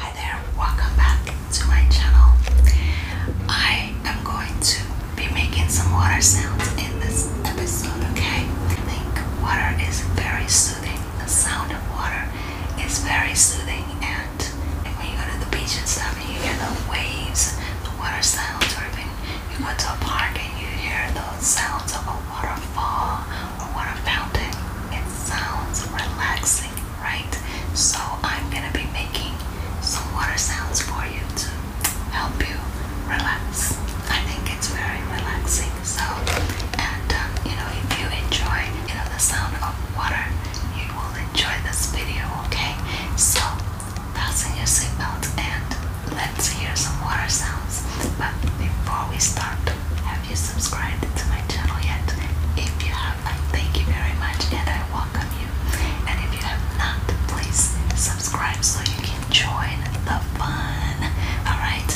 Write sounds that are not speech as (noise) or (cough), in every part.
Hi there, welcome back to my channel. I am going to be making some water sounds in this episode, okay? I think water is very soothing. The sound of water is very soothing, and when you go to the beach and stuff and you hear the waves, the water sounds, or even you go to a park and you hear the sounds of a waterfall or water fountain, it sounds relaxing right? So I'm gonna be making some water sounds for you to help you relax. I think it's very relaxing. So, and um, you know, if you enjoy, you know, the sound of water, you will enjoy this video. Okay? So, fasten your seatbelt and let's hear some water sounds. But before we start, have you subscribed to my channel yet? If you have, I thank you very much and I welcome you. And if you have not, please subscribe so you can join the fun. Alright?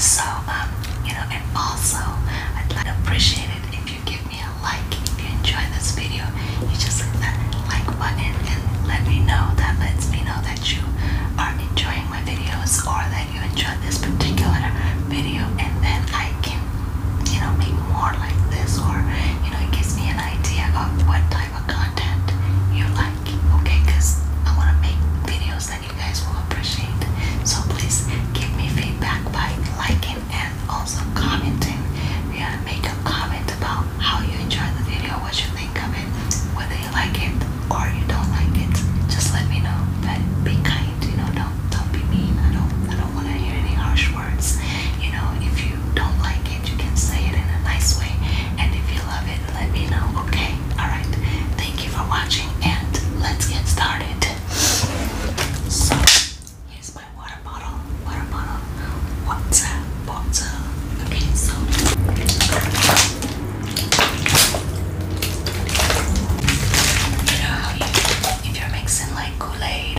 So, um, you know, and also, I'd like to appreciate it if you give me a like. If you enjoy this video, you just hit that like button and let me know. That lets me know that you are enjoying my videos or that that you enjoyed this particular video and then I can you know make more like this or you know it gives me an idea of what type of content you like okay because I want to make videos that you guys will appreciate so please give me feedback by liking and also commenting yeah make a comment about how you enjoyed the video what you think of it whether like it or you don't like it, just let me know. But be kind, you know, don't don't be mean. I don't I don't wanna hear any harsh words. You know, if you don't like it, you can say it in a nice way. And if you love it, let me know, okay? Alright. Thank you for watching and let's get started. So here's my water bottle. Water bottle. Water bottle. Okay, so you know how you, if you're mixing like Kool-Aid,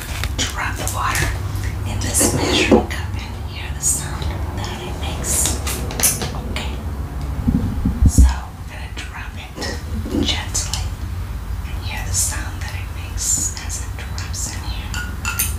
enough to run the water in this measuring cup and hear the sound that it makes. Okay. So I'm gonna drop it gently and hear the sound that it makes as it drops in here. Okay.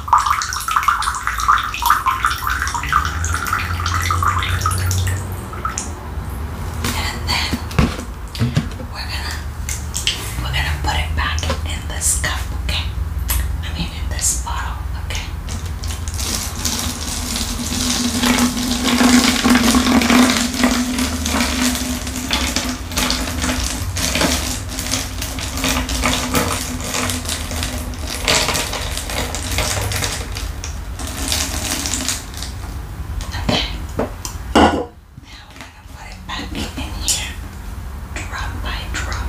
And then we're gonna we're gonna put it back in this cup, okay? I mean in this bottle, okay? Okay. Now we're going to put it back in here, drop by drop.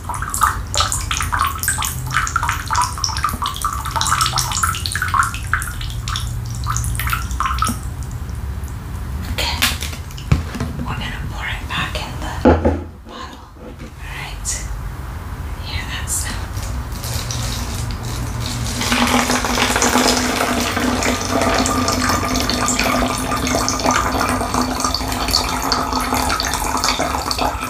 Okay, we're gonna pour it back in the bottle. Alright, hear Okay,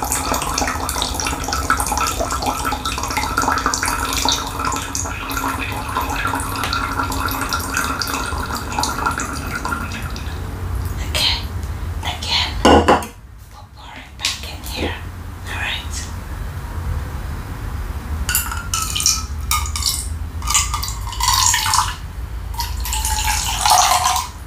again, we'll pour it back in here. Alright.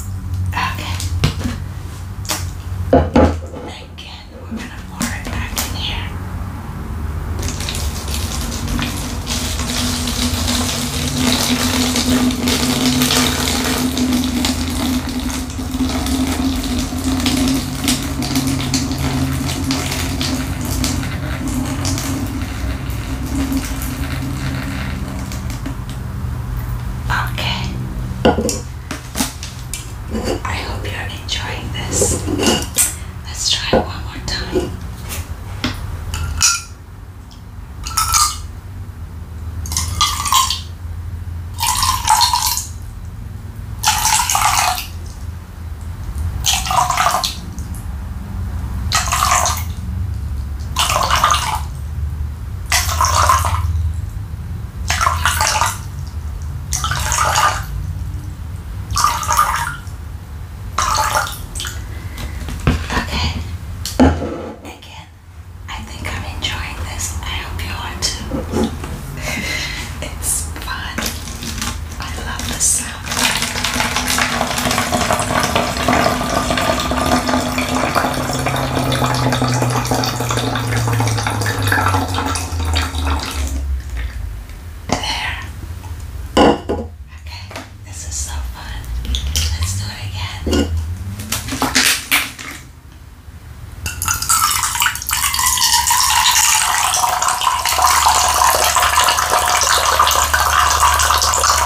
Okay. Again, we're going to pour it back in here. Okay. I hope you're enjoying this. Let's try it one more time. Okay. Again, I think I'm enjoying this. I hope you are too. (laughs) it's fun. I love the sound. There. Okay, this is so fun. Let's do it again.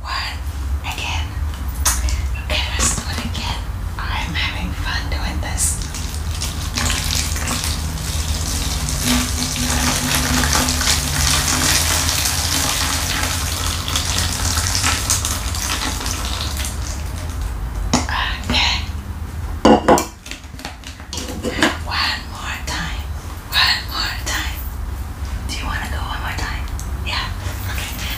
One again. Okay, let's do it again. I'm having fun doing this. Okay. One more time. One more time. Do you want to go one more time? Yeah. Okay.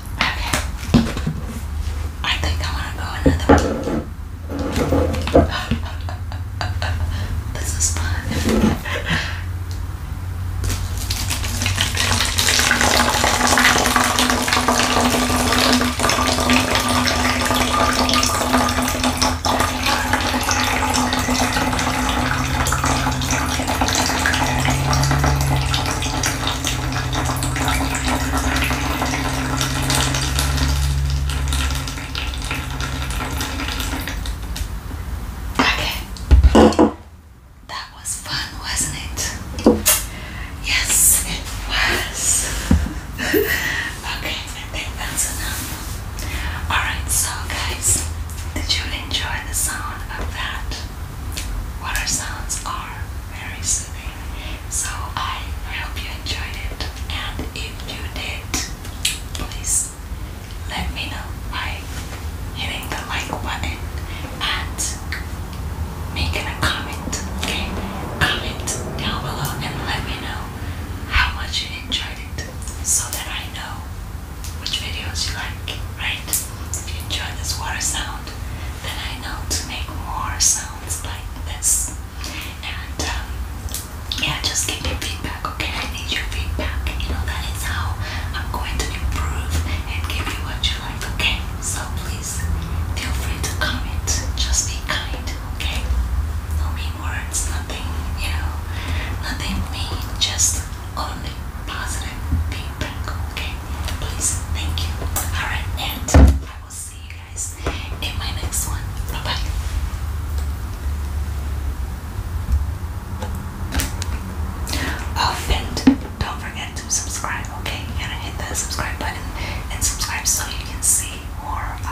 Okay. I think I want to go another one. (laughs) this is fun. Okay. That was fun, wasn't it? Yes, it was. (laughs) okay, that's enough. Alright, so guys, did you enjoy the sound of that? Water sounds are very soothing. So I hope you enjoyed it. And if you did, please let me know by hitting the like button and making a comment. Okay? Comment down below and let me know how much you enjoyed it so that I know which videos you like, right? If you enjoyed this water sound, then I know to make more sounds like this. And um, yeah, just give me feedback, okay? I need your feedback. You know, that is how I'm going to improve and give you what you like, okay? So please feel free to comment. Just be kind, okay? No mean words, nothing, you know, nothing mean, just only positive feedback, okay? please thank you all right and i will see you guys in my next one bye bye oh and don't forget to subscribe okay gotta hit that subscribe button and subscribe so you can see more of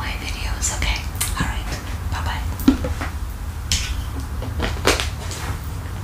my videos okay all right bye bye